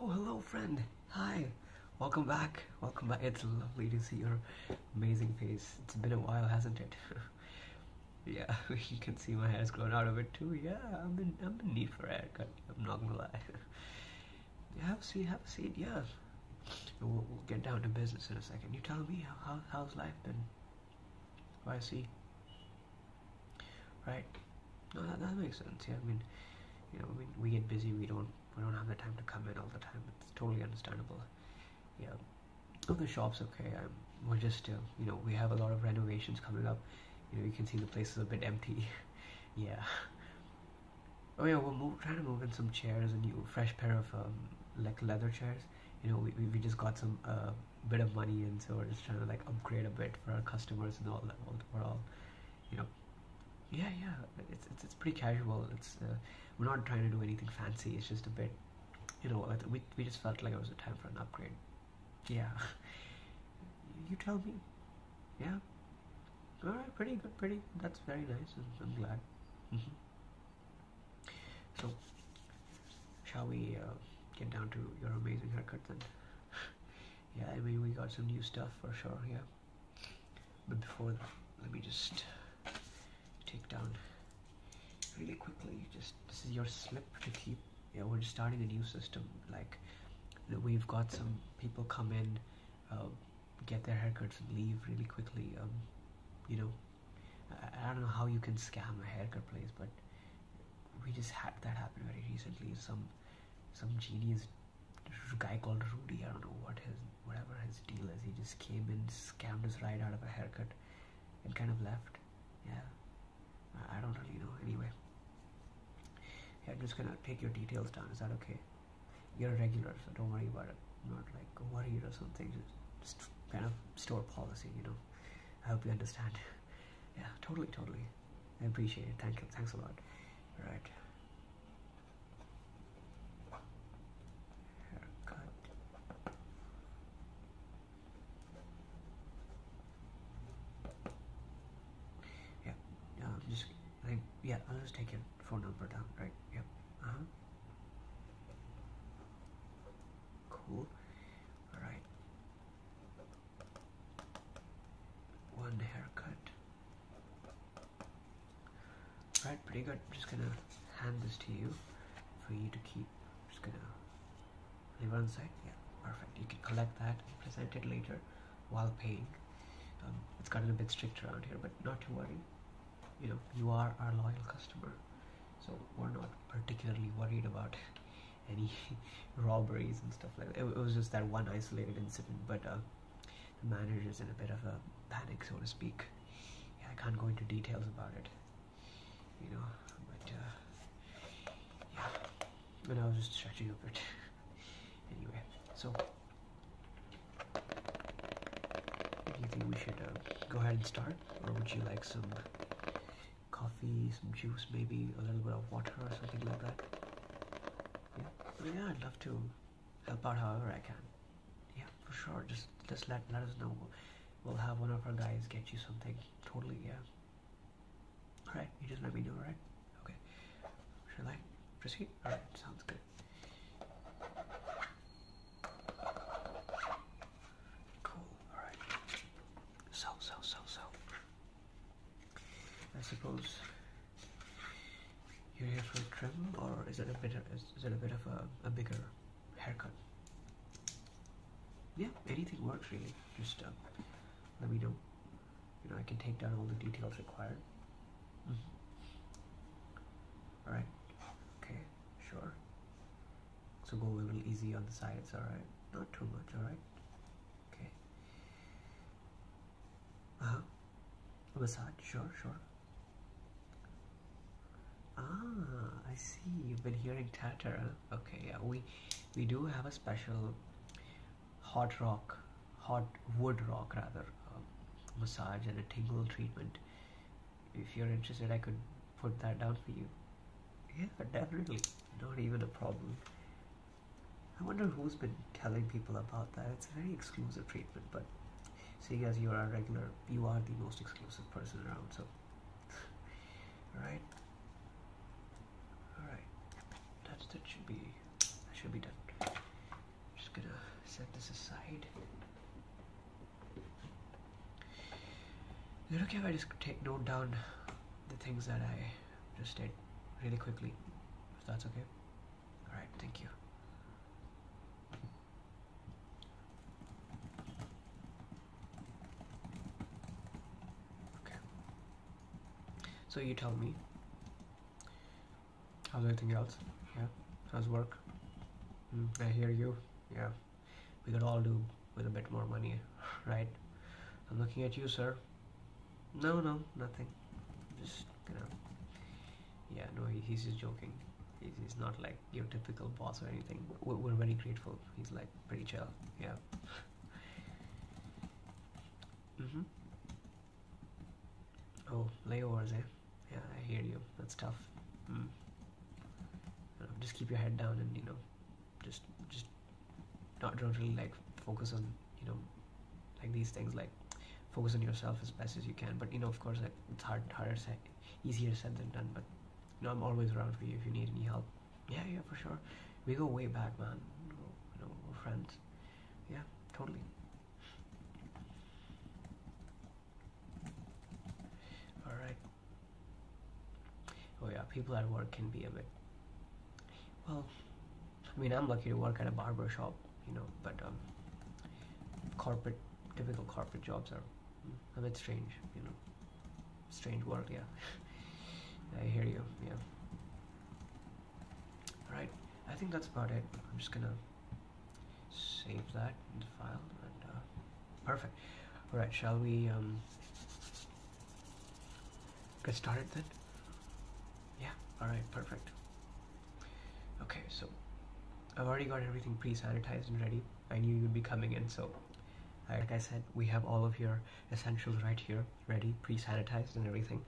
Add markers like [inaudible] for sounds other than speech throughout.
Oh, hello friend. Hi. Welcome back. Welcome back. It's lovely to see your amazing face. It's been a while, hasn't it? [laughs] yeah, [laughs] you can see my hair's grown out of it too. Yeah, I'm in, i need for a haircut. I'm not gonna lie. [laughs] have a seat, have a seat, Yes. We'll, we'll, get down to business in a second. You tell me, how, how's life been? Why, see? right no that, makes sense yeah i mean you know I mean, we get busy we don't we don't have the time to come in all the time it's totally understandable yeah oh the shop's okay I'm, um, we're just uh, you know we have a lot of renovations coming up you know you can see the place is a bit empty [laughs] yeah oh yeah we're trying to move in some chairs a new fresh pair of um, like leather chairs you know we, we just got some uh, bit of money and so we're just trying to like upgrade a bit for our customers and all that we're all you know yeah yeah it's it's, it's pretty casual it's uh, we're not trying to do anything fancy it's just a bit you know uh, we, we just felt like it was a time for an upgrade yeah [laughs] you tell me yeah all right pretty good pretty that's very nice i'm, glad mm-hmm. so shall we uh, get down to your amazing haircut then [laughs] yeah, I mean, we got some new stuff for sure, yeah. But before let me just take down really quickly. Just this is your slip to keep. Yeah, we're starting a new system. Like we've got some people come in, uh, get their haircuts, and leave really quickly. Um, you know, I, I don't know how you can scam a haircut place, but we just had that happen very recently. Some some genius guy called Rudy. I don't know what his whatever his deal is. He just came and scammed us right out of a haircut and kind of left. Yeah, I, don't really know. Anyway, yeah, I'm just gonna take your details down. Is that okay? You're a regular, so don't worry about it. not like worried or something. just kind of store policy, you know. I hope you understand. [laughs] yeah, totally, totally. I appreciate it. Thank you. Thanks a lot. Right. Haircut. Yeah. Um, just yeah. I'll just take your phone number down. Right. Yep. Yeah. Uh-huh. Cool. All right one haircut. Alright, pretty good. I'm just gonna hand this to you for you to keep. I'm just gonna leave it on site. Yeah, perfect. You can collect that and present it later while paying. Um, it's gotten a bit strict around here, but not to worry. You know, you are our loyal customer, so we're not particularly worried about any [laughs] robberies and stuff like It, was just that one isolated incident, but uh, the manager is in a bit of a panic, so to speak. I can't go into details about it, you know, but uh, yeah, and I was just stretching a bit. [laughs] anyway, so do you think we should uh, go ahead and start, or would you like some coffee, some juice, maybe a little bit of water or something like that. Yeah, yeah, I'd love to help out however I can. Yeah, for sure. Just just let let us know. We'll have one of our guys get you something. Totally, yeah. Alright, you just let me know, alright? Okay. Shall I proceed? Alright, sounds good. Cool, alright. So, so, so, so. I suppose you're here for a trim, or is it a bit? Of, is, it a bit of a, bigger haircut? Yeah, anything works really. Just um, let me know. You know, I can take down all the details required. Mm-hmm. All right. Okay. Sure. So go a little easy on the sides, alright? Not too much, alright? Okay. Uh-huh. Massage, sure, sure. Ah, I see. You've been hearing tatter, Okay, yeah. We we do have a special hot rock, hot wood rock rather, um, massage and a tingle treatment. If you're interested, I could put that down for you. Yeah, definitely. Not even a problem. I wonder who's been telling people about that. It's a very exclusive treatment, but seeing as you are a regular, you are the most exclusive person around, so. [laughs] right. Alright. That, that should be, that should be done. I'm just gonna set this aside. Is it okay if I just take note down the things that I just did really quickly? If that's okay? Alright, thank you. Okay. So you tell me. How's everything else? Yeah? How's work? Mm, I hear you. Yeah we could all do with a bit more money, [laughs] right? I'm looking at you, sir. No, no, nothing. Just, you know. Yeah, no, he's just joking. He's, not like your typical boss or anything. We're, very grateful. He's like pretty chill. Yeah. mm-hmm. Oh, layovers, eh? Yeah, I hear you. That's tough. Mm. Uh, just keep your head down and you know just just not don't really like focus on you know like these things like focus on yourself as best as you can but you know of course like it's hard harder said easier said than done but you know i'm always around for you if you need any help yeah yeah for sure we go way back man you know we're friends yeah totally all right oh yeah people at work can be a bit well i mean i'm lucky to work at a barber shop you know but um, corporate typical corporate jobs are a bit strange you know strange world yeah [laughs] i hear you yeah all right i think that's about it i'm just gonna save that in the file and uh, Perfect. All right, shall we um, get started then? Yeah, all right, perfect. Okay, so I've already got everything pre-sanitized and ready. I knew you'd be coming in, so like I said, we have all of your essentials right here, ready, pre-sanitized and everything.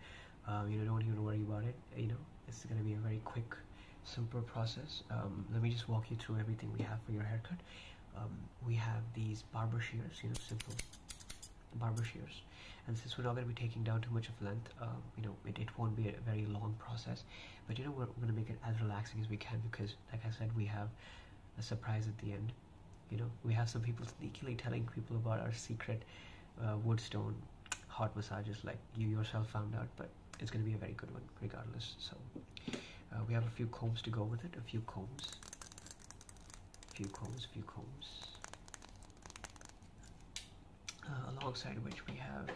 Um, you know, don't even worry about it. You know, it's gonna be a very quick Simple process. Um, let me just walk you through everything we have for your haircut. Um, we have these barber shears, you know, simple barber shears. And since we're not going to be taking down too much of length, um, you know, it, it won't be a very long process. But you know, we're, we're going to make it as relaxing as we can because, like I said, we have a surprise at the end. You know, we have some people sneakily telling people about our secret uh, Woodstone hot massages like you yourself found out, but it's going to be a very good one regardless. So uh, we have a few combs to go with it. A few combs, few combs, few combs. Uh, alongside which we have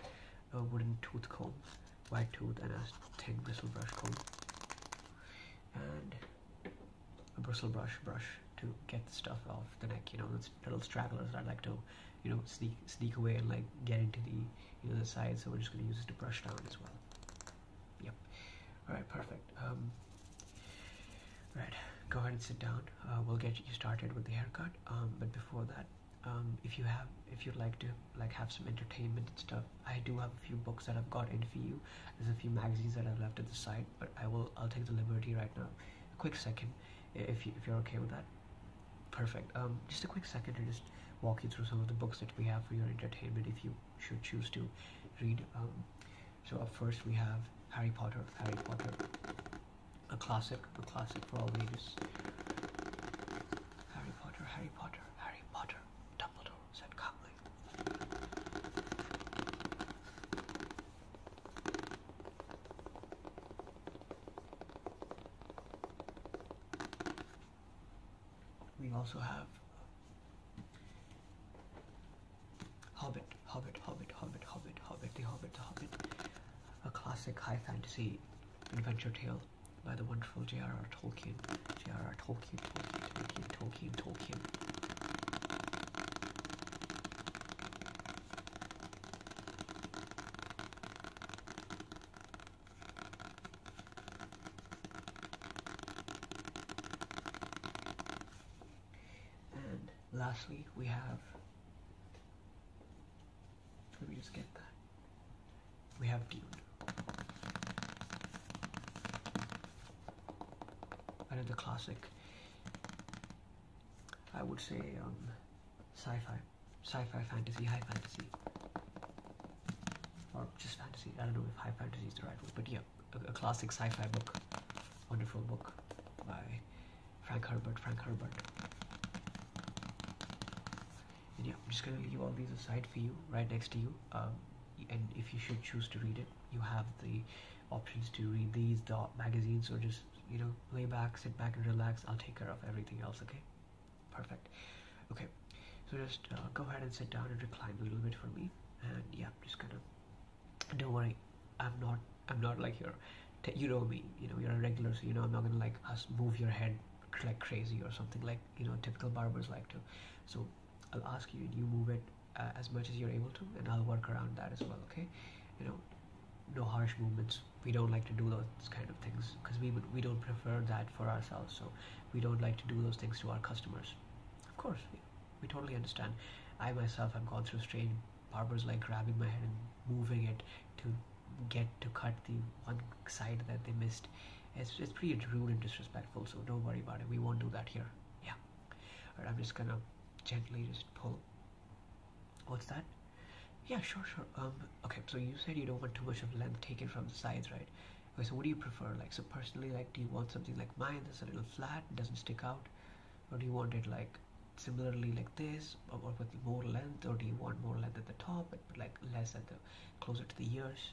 a wooden tooth comb, white tooth, and a thin bristle brush comb, and a bristle brush brush to get the stuff off the neck. You know, those little stragglers. I like to, you know, sneak sneak away and like get into the the other side. So we're just going to use it to brush down as well. Yep. All right, perfect. Um, go ahead and sit down. Uh, we'll get you started with the haircut. Um, but before that, um, if you have, if you'd like to like have some entertainment and stuff, I do have a few books that I've got in for you. There's a few magazines that I've left at the side, but I will, I'll take the liberty right now. A quick second, if if you're okay with that. Perfect. Um, just a quick second to just walk you through some of the books that we have for your entertainment if you should choose to read. Um, so first we have Harry Potter, Harry Potter, a classic, a classic for all ages. Harry Potter, Harry Potter, Harry Potter, Dumbledore said calmly. We also have Hobbit, Hobbit, Hobbit, Hobbit, Hobbit, Hobbit, The Hobbit, The Hobbit, a classic high fantasy adventure tale by the wonderful J.R.R. Tolkien. J.R.R. Tolkien, Tolkien, Tolkien, Tolkien, Tolkien. And lastly, we have, let me just get that. We have Dune. Another classic. I would say um, sci-fi, sci-fi fantasy, high fantasy, or just fantasy. I don't know if high fantasy is the right word, but yeah, a, classic sci-fi book, wonderful book by Frank Herbert. Frank Herbert. And yeah, I'm just gonna leave all these aside for you, right next to you. Um, and if you should choose to read it, you have the options to read these the magazines or just you know lay back, sit back and relax. I'll take care of everything else. Okay. Perfect. Okay, so just uh, go ahead and sit down and recline a little bit for me. And yeah, just kind of. Don't worry, I'm not. I'm not like your. you know me. You know you're a regular, so you know I'm not gonna like us move your head like crazy or something like you know typical barbers like to. So I'll ask you and you move it uh, as much as you're able to, and I'll work around that as well. Okay, you know no harsh movements we don't like to do those kind of things because we we don't prefer that for ourselves so we don't like to do those things to our customers of course we, totally understand i myself have gone through strange barbers like grabbing my head and moving it to get to cut the one side that they missed it's, it's pretty rude and disrespectful so don't worry about it we won't do that here yeah all right i'm just gonna gently just pull What's that? Yeah, sure, sure. Um, okay, so you said you don't want too much of length taken from the sides, right? so what do you prefer? Like, so personally, like, do you want something like mine that's a little flat, doesn't stick out, or do you want it like similarly like this, or, with more length, or do you want more length at the top but, like less at the closer to the ears?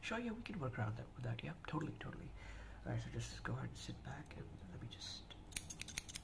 Sure, yeah, we can work around that with that. Yeah, totally, totally. All right, so just go ahead and sit back and let me just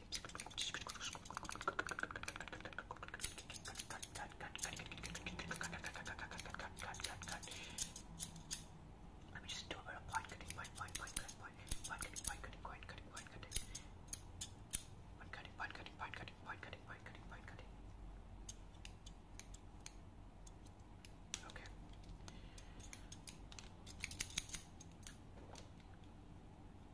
let me just do a bit of white cutting, white, white, white, white, white, white cutting, white cutting, white cutting, white cutting, white cutting, white cutting, white cutting, white cutting, white cutting, white cutting. Okay.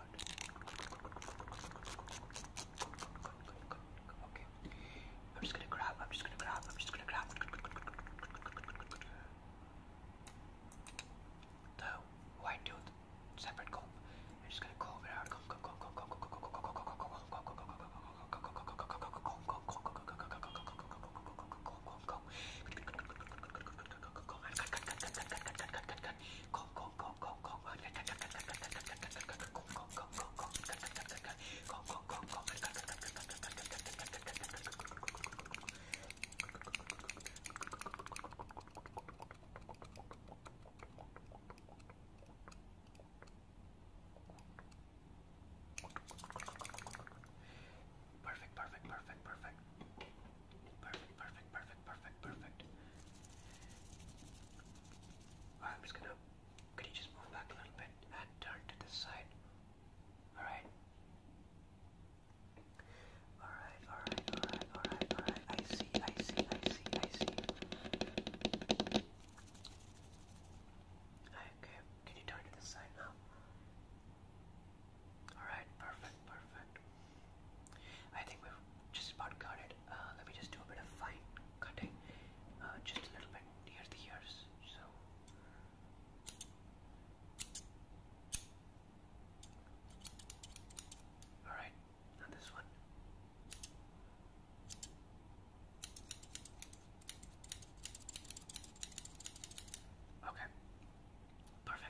Okay. I'm just gonna grab, I'm just gonna grab, I'm just gonna grab the white tooth separate comb. I'm just gonna comb it out. Comb, comb, comb, comb, comb, comb, comb, comb, comb, comb, comb, comb, comb, comb, comb, comb, comb, comb, comb, Perfect, perfect, perfect, perfect. Perfect perfect, perfect, perfect, perfect, I'm just gonna. Could you just move back a little bit and turn to this side? Alright. Alright, alright, alright, alright, I see, I see, I see, I see. Okay, can you turn to this side now? Alright, perfect, perfect. I think we've just about got it. Uh, let me just do a bit of fine cutting, uh, just a little bit near the ears. So. Alright, now this one. Okay, perfect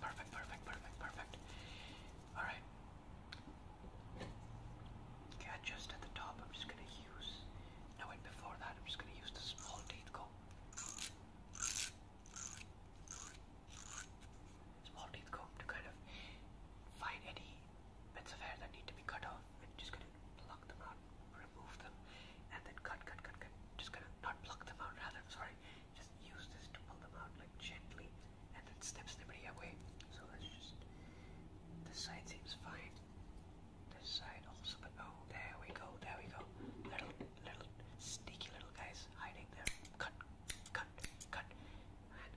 perfect, perfect, perfect, perfect, Alright. Okay, I just at the top, I'm just gonna use. No, wait, before that, I'm just gonna use the small teeth comb. Small teeth comb to kind of find any bits of hair that need to be cut off. And just gonna pluck them out, remove them, and then cut, cut, cut, cut. Just gonna not pluck them out, rather, I'm sorry just use this to pull them out like gently and then steps everybody away. So let's just, this side seems fine. This side also, but oh, there we go, there we go. Little, little, sneaky little guys hiding there. Cut, cut, cut.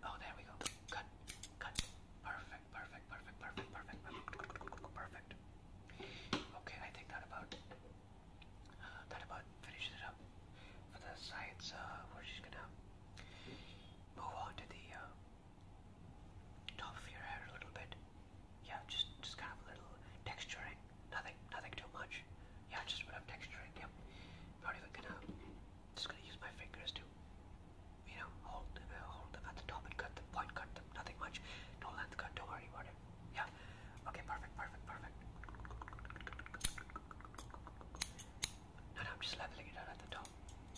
oh, there we go. Cut, cut. perfect, perfect, perfect, perfect, perfect, perfect. Okay, I think that about thought about finishing it up for the sides. We're just gonna move on to the uh, top of your hair a little bit. Yeah, just just kind of a little texturing. Nothing, nothing too much. Yeah, just a bit of texturing. Yep. Not even gonna. Just gonna use my fingers to, you know, hold them, uh, hold them at the top and cut them, point cut them. Nothing much. No length cut. Don't worry about it. Yeah. Okay, perfect, perfect, perfect. No, no, I'm just leveling it out at the top.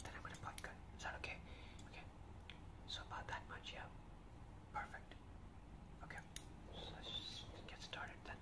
Then I'm gonna put good. Is that okay? Okay. So about that much, yeah. Perfect. Okay. So let's just get started then.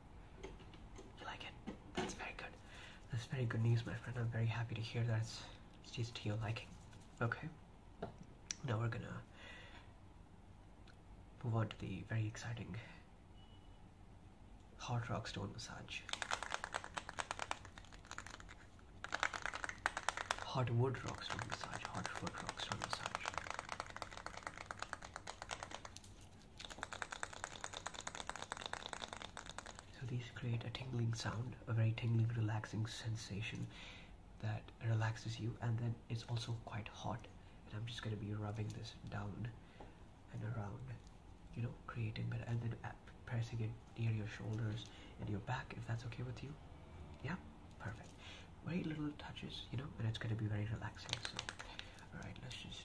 You like it? That's very good. That's very good news, my friend. I'm very happy to hear that it's, it's to your liking. Okay. Now we're gonna move on to the very exciting hot rock stone massage. Hot wood rock stone massage. Hot wood rock stone massage. So these create a tingling sound, a very tingling, relaxing sensation that relaxes you, and then it's also quite hot. And I'm just going to be rubbing this down and around, you know, creating that, and then uh, pressing it near your shoulders and your back, if that's okay with you. Yeah, perfect. Very little touches, you know, and it's going to be very relaxing. So, all right, let's just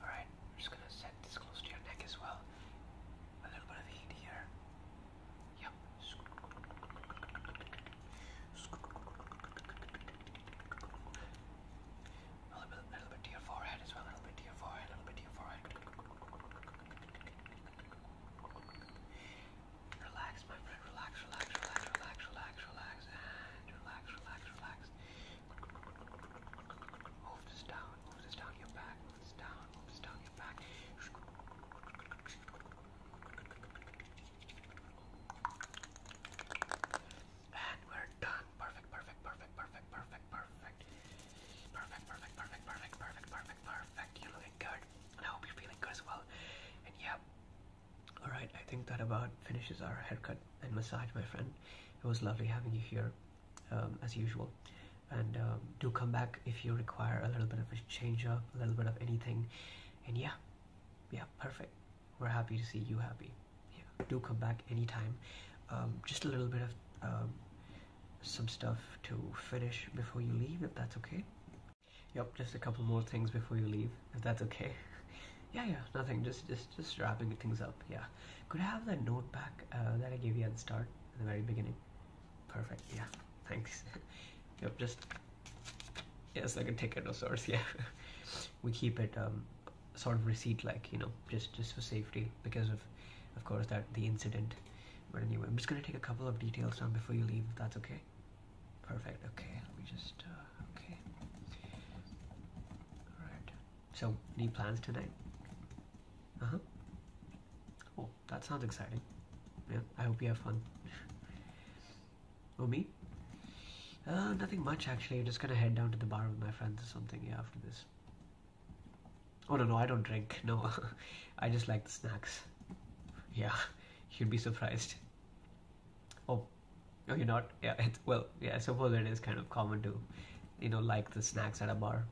Alright, we're just gonna set this close to your neck as well. A little bit of heat here. Yep. A little bit, a little bit to your forehead as well. A little bit to your forehead. A little bit to your forehead. Relax, my friend. Relax, relax, relax, relax, relax, relax, and relax, relax, relax. Move this down. Move this down your back. Move this down. Move this down your back. And we're done. perfect, perfect, perfect, perfect, perfect. Perfect, perfect, perfect, perfect, perfect, perfect, perfect. You're looking good. I hope you're feeling good as well. And yeah, all right, I think that about finishes our haircut and massage, my friend. It was lovely having you here, um, as usual. And um, do come back if you require a little bit of a change up, a little bit of anything. And yeah, yeah, perfect. We're happy to see you happy. Yeah, do come back anytime. Um, just a little bit of some stuff to finish before you leave, if that's okay. Yep, just a couple more things before you leave, if that's okay. [laughs] yeah, yeah, nothing. Just, just, just wrapping things up. Yeah. Could I have that note back uh, that I gave you at the start, at the very beginning? Perfect. Yeah. [laughs] Thanks. [laughs] yep. Just. Yeah, it's like a ticket of sorts. Yeah. we keep it um, sort of receipt-like, you know, just just for safety because of, of course, that the incident but anyway, I'm just gonna take a couple of details down before you leave, that's okay. Perfect, okay, let me just, uh, okay. Alright, so, any plans tonight? Uh-huh. Oh, that sounds exciting. Yeah, I hope you have fun. [laughs] oh, me? Uh, nothing much actually, I'm just gonna head down to the bar with my friends or something, yeah, after this. Oh no, no, I don't drink. No, [laughs] I just like the snacks. Yeah, [laughs] you'd be surprised. Oh, no, you're not. Yeah, well, yeah. I suppose it is kind of common to, you know, like the snacks at a bar.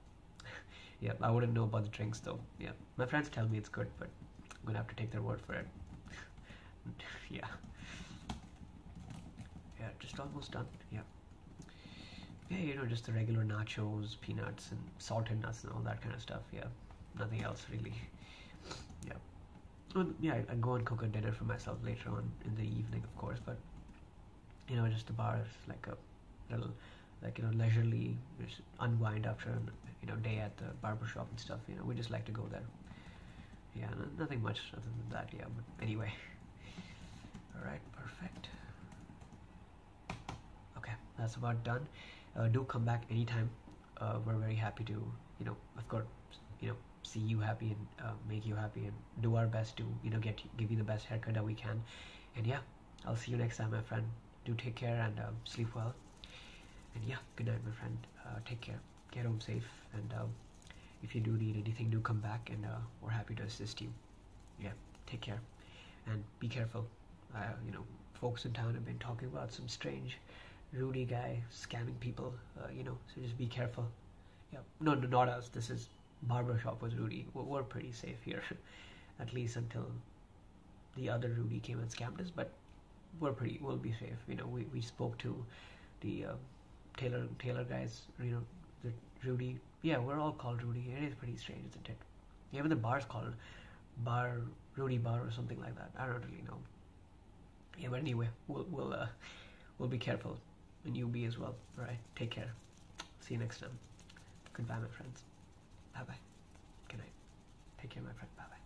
[laughs] yeah, I wouldn't know about the drinks though. Yeah, my friends tell me it's good, but I'm gonna have to take their word for it. yeah. Yeah, just almost done. Yeah. Yeah, you know, just the regular nachos peanuts and salted nuts and all that kind of stuff. Yeah, nothing else really. Yeah. yeah, I, go and cook a dinner for myself later on in the evening, of course, but you know, just the bar is like a little, like you know, leisurely just unwind after you know day at the barber shop and stuff. You know, we just like to go there. Yeah, nothing much other than that. Yeah, but anyway. [laughs] All right, perfect okay that's about done uh, do come back anytime uh, we're very happy to you know of course you know see you happy and uh, make you happy and do our best to you know get give you the best haircut that we can and yeah i'll see you next time my friend do take care and um, sleep well and yeah good night my friend take care get home safe and um, if you do need anything do come back and we're happy to assist you yeah, take care and be careful. Uh, you know, folks in town have been talking about some strange, Rudy guy scamming people. Uh, you know, so just be careful. Yeah, no, not us. This is barber shop was Rudy. We're, pretty safe here, [laughs] at least until the other Rudy came and scammed us. But we're pretty, we'll be safe. You know, we, we spoke to the uh, Taylor Taylor guys. You know, the Rudy yeah, we're all called Rudy. It is pretty strange, isn't it? Even the bar is called Bar Rudy Bar or something like that. I don't really know. Yeah, but anyway, we'll we'll uh, we'll be careful, and you be as well. All right, take care. See you next time. Goodbye, my friends. Bye bye. Good night. Take care, my friend. Bye bye.